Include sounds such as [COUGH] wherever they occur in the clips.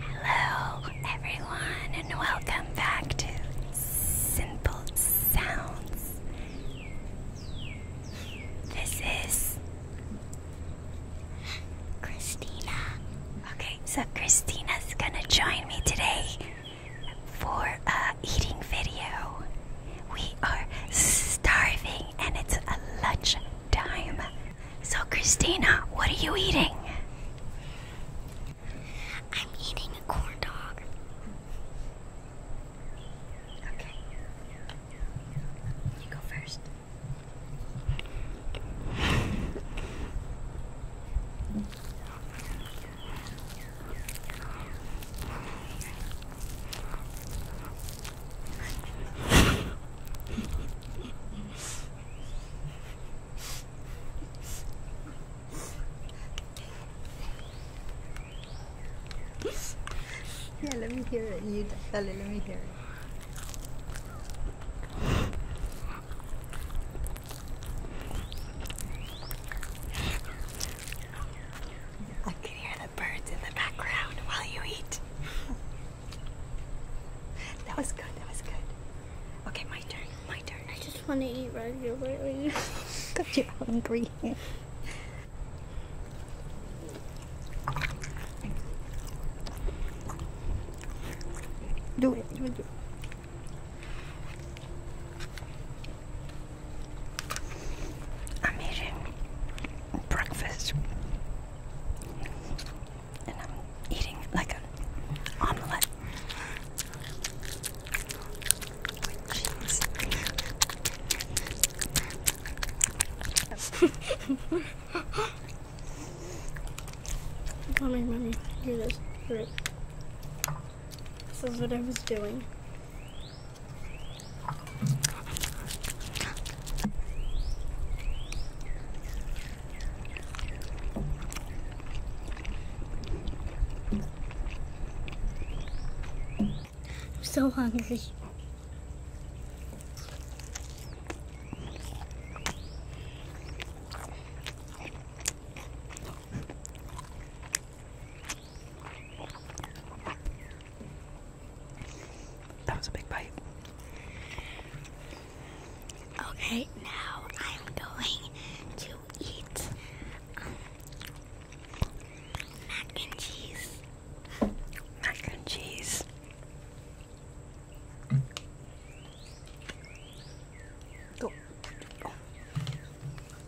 Hello, everyone, and welcome back to Simple Sounds. This is Christina. Okay, so Christina's gonna join me today for a eating video. We are starving and it's a lunch time. So, Christina, what are you eating? I'm eating a corn dog. Okay. You go first. [SIGHS] yeah, let me hear it. You, tell Dale, let me hear it. I can hear birds in the background while you eat. [LAUGHS] that was good, that was good. Okay, my turn, my turn. I just want to eat regularly. Because [LAUGHS] you're hungry. do do it, do it. I'm eating breakfast and I'm eating like an omelette with cheese. mommy, mommy, do this. This is what I was doing. I'm so hungry. That was a big bite. Okay, now I'm going to eat mac and cheese. Mac and cheese. Mm.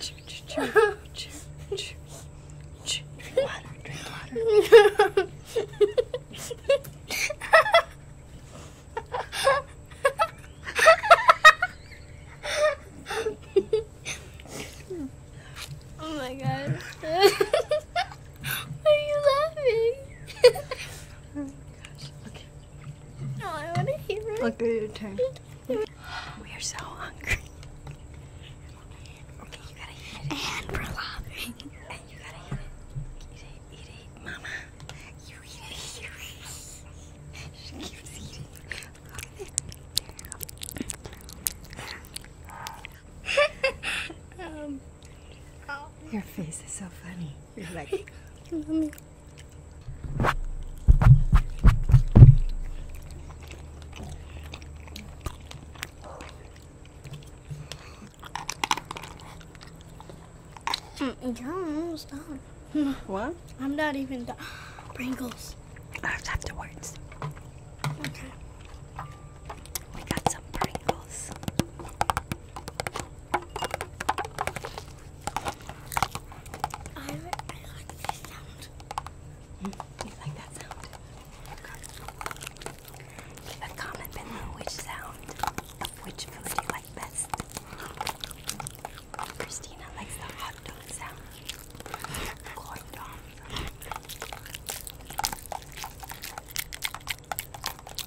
chew, chew, chew, chew, chew, chew. Drink water, drink water. oh my god. [LAUGHS] are you laughing? [LAUGHS] No, I want to hear Look at your turn. We are so hungry. Okay, you gotta eat it. And we're laughing. you gotta eat it. Eat it, eat it. Mama, you eat it. She keeps eating. [LAUGHS] Um, your face is so funny. You're like... [LAUGHS] I'm almost done. What? I'm not even done. [GASPS] Pringles. That's afterwards. Okay. We got some Pringles. I, I like this sound. You like that sound? Okay. A comment below which sound of which food you like best. Christina likes the hot dog sound. Corn dog.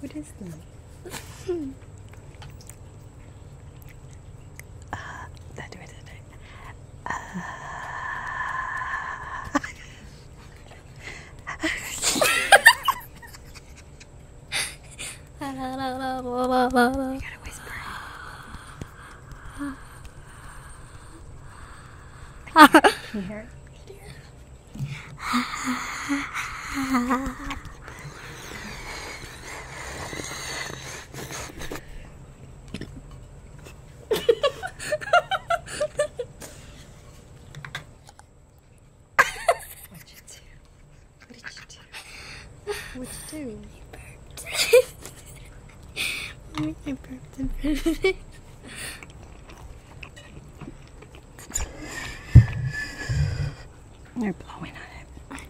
what is that? uh, that do it, that do it. Uh, you gotta whisper. [LAUGHS] Can you hear it? [LAUGHS] what did you do? What did you do? [LAUGHS] What you doing? I burped. I burped it. They're blowing on it. I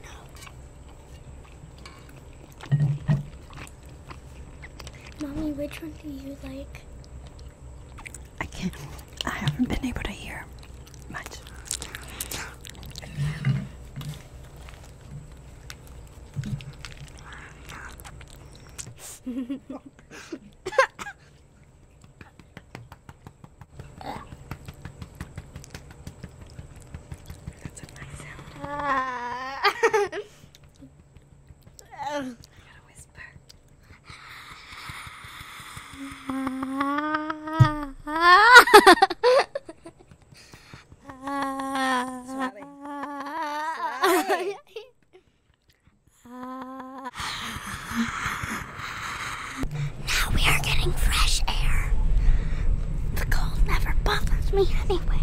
know. Mommy, which one do you like? I can't. I haven't been able to hear much. That's a nice sound. Uh, [LAUGHS] I gotta whisper. Suave. Suave. now we are getting fresh air. The cold never bothers me anyway.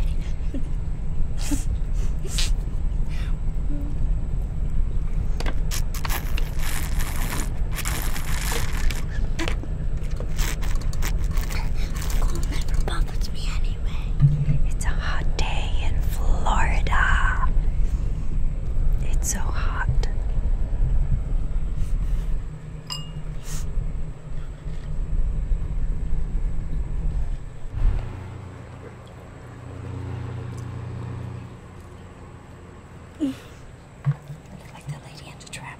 It's a hot day in Florida. It's so hot. [LAUGHS] Like the lady in the trap.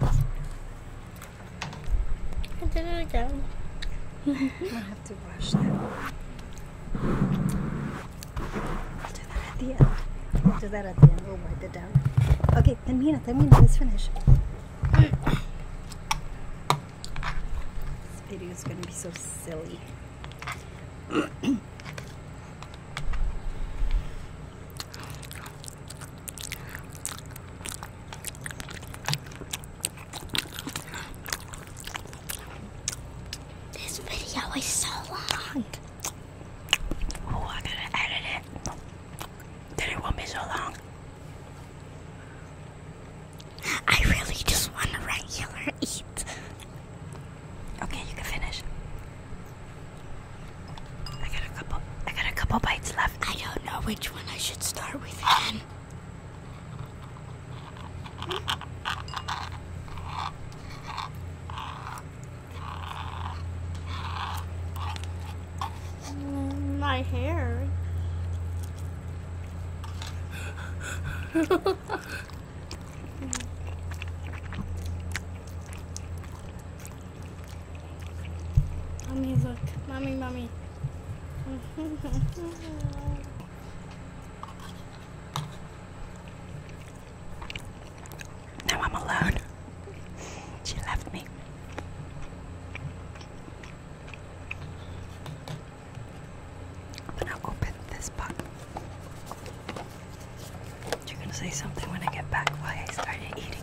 I did it again. [LAUGHS] I'm gonna have to wash that. I'll do that at the end. I'll do that at the end. We'll wipe it down. Okay, then Mina, then Mina, let's finish. this video is gonna be so silly. [CLEARS THROAT] This video is so long. Oh, I gotta edit it. Then it won't so long. I really just want a regular eat. Okay, you can finish. I got a couple. I got a couple bites left. I don't know which one I should start with mm, my hair. [LAUGHS] Mommy, look. Mommy, mommy. [LAUGHS] now I'm alone. She left me. I'm gonna open this box. You're gonna say something when I get back why I started eating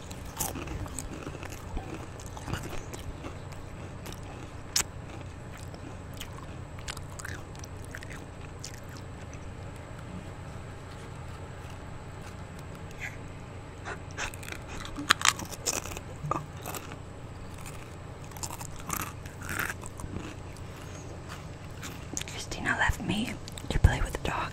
Christina left me to play with the dog.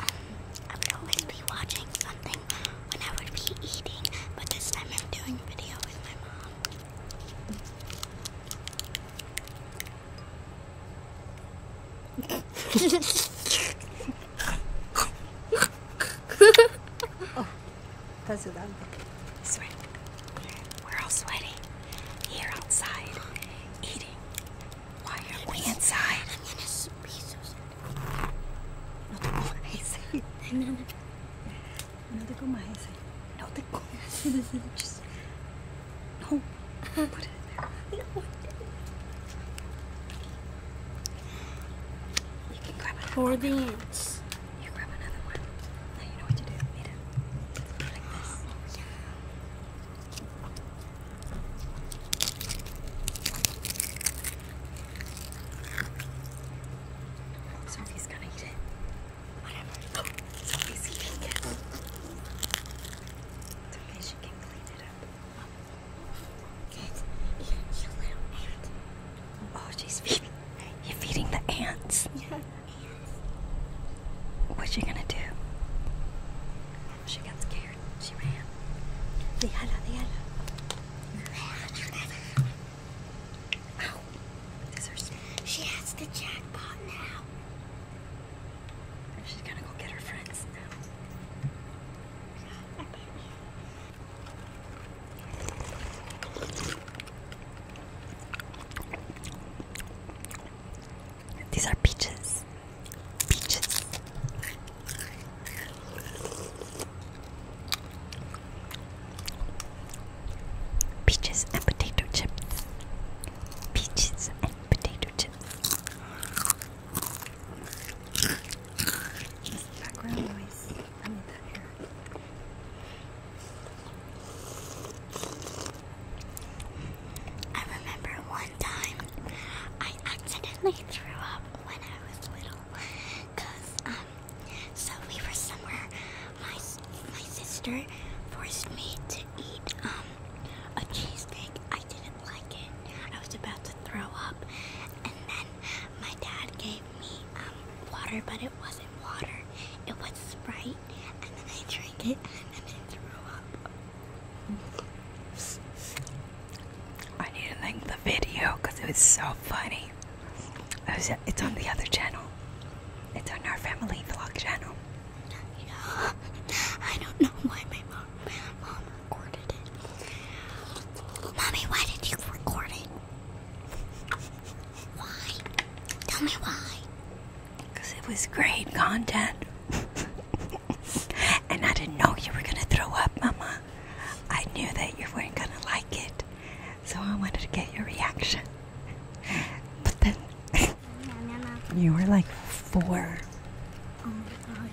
I would always be watching something when I would be eating, but this time I'm doing a video with my mom. oh, that's a I swear. We're all sweating here outside, eating. Why are we inside? I'm gonna be Susan. No te comas. No te comas. No te comas. Just no. Put it in there. You can grab it for the ants. You grab another one. Now you know what to do. Eat it. Like this. Sophie's gonna eat it. Whatever. Sophie's eating it. It's she can clean it up. Good. You, you little ant. Oh, she's feeding. You're feeding the ants. Yeah. What's she gonna do? She got scared. She ran. the déjala. Oh, is her She has the jackpot now. She's gonna go get her friends now. These are peaches. Peaches. Peaches and potato chips. Peaches and potato chips. Background noise. I need that here. I remember one time I accidentally threw up when I was little because um so we were somewhere my my sister forced me to eat um a cheesecake. I didn't like it I was about to throw up and then my dad gave me um water but it wasn't water it was Sprite and then I drank it, and then I threw up. I need to link the video because it was so funny. it's on the other channel. It's on our family vlog channel. [LAUGHS] I don't know why my mom recorded it. Mommy, why did you record it? [LAUGHS] Why? Tell me why because it was great content. [LAUGHS] and I didn't know you were going to throw up, Mama. I knew that you weren't going to like it. So I wanted to get your reaction. But then [LAUGHS] you were like four. Oh my god.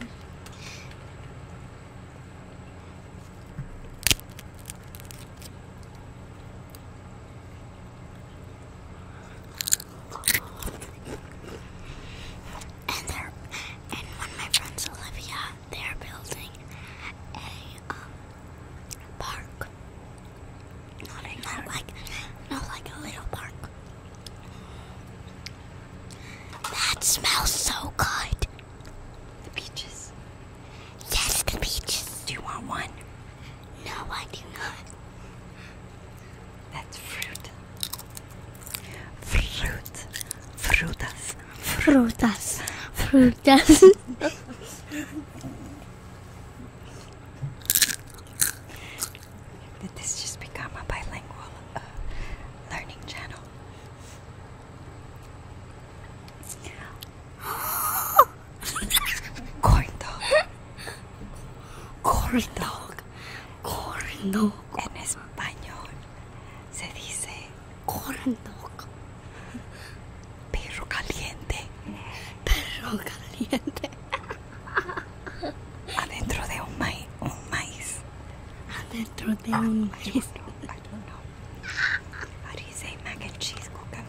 And they're and one my friends, Olivia, they're building a um, park. Not a not like not like a little park. That smells so good. The peaches. Yes, the peaches. Do you want one? No, I do not. That's fruit. Fruit. Frutas. Frutas. Frutas. Did this just become a bilingual uh, learning channel? [GASPS] [LAUGHS] Corn dog. Corn dog. Corn dog. En español se dice corn Perro caliente. Perro caliente. Adentro de un maíz. Adentro de un maíz. I don't know. How do you say and cheese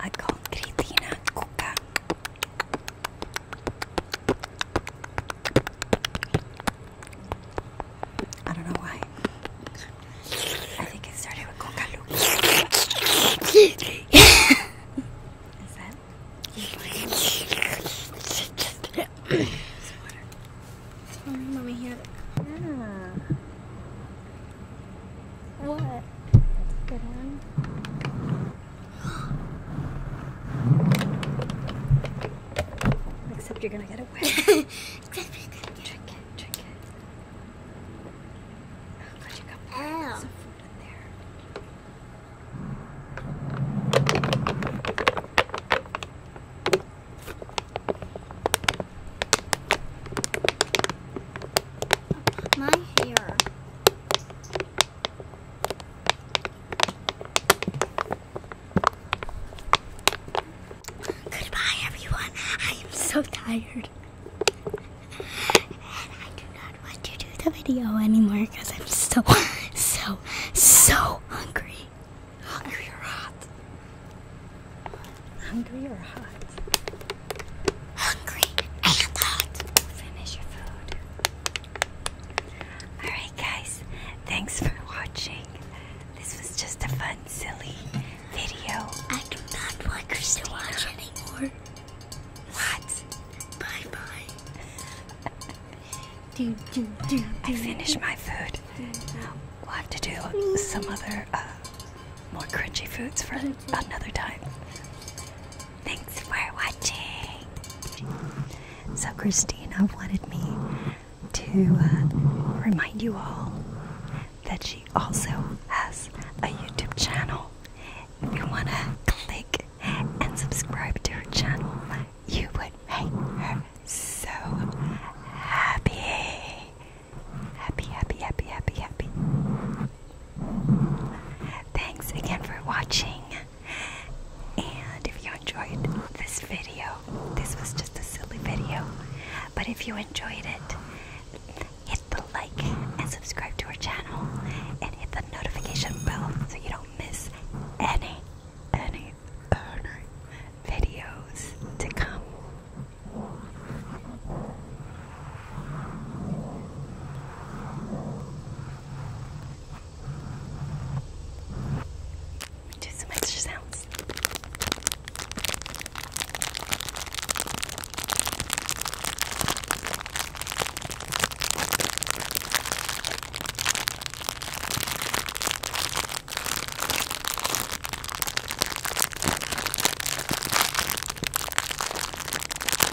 I called Kritina Kuka. I don't know why. I think it started with Coca [LAUGHS] Is that? Let me have it. What? That's a good one. Except you're gonna get away. [LAUGHS] Except you're gonna get drink Oh, My hair. Goodbye, everyone. I am so tired. And I do not want to do the video anymore because I'm so, so, so hungry. Hungry or hot? Hungry or hot? hungry and hot. Finish your food. Alright, guys, thanks for watching. This was just a fun, silly video. I do not want Christina. to watch anymore. What? Bye bye. [LAUGHS] do, do, do, I finished my food. We'll have to do some other uh, more crunchy foods for another time. Thanks for watching. So, Christina wanted me to uh, remind you all that she also has a YouTube channel. If you want to click and subscribe to her channel, you would make her so happy. Happy, happy, happy, happy, happy. Thanks again for watching. And if you enjoyed this video, this was just a silly video, but if you enjoyed it, hit the like and subscribe to our channel and hit the notification bell so you don't miss any, any, any videos to come. Do some extra sounds.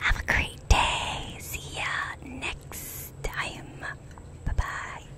Have a great day. See ya next time. Bye bye.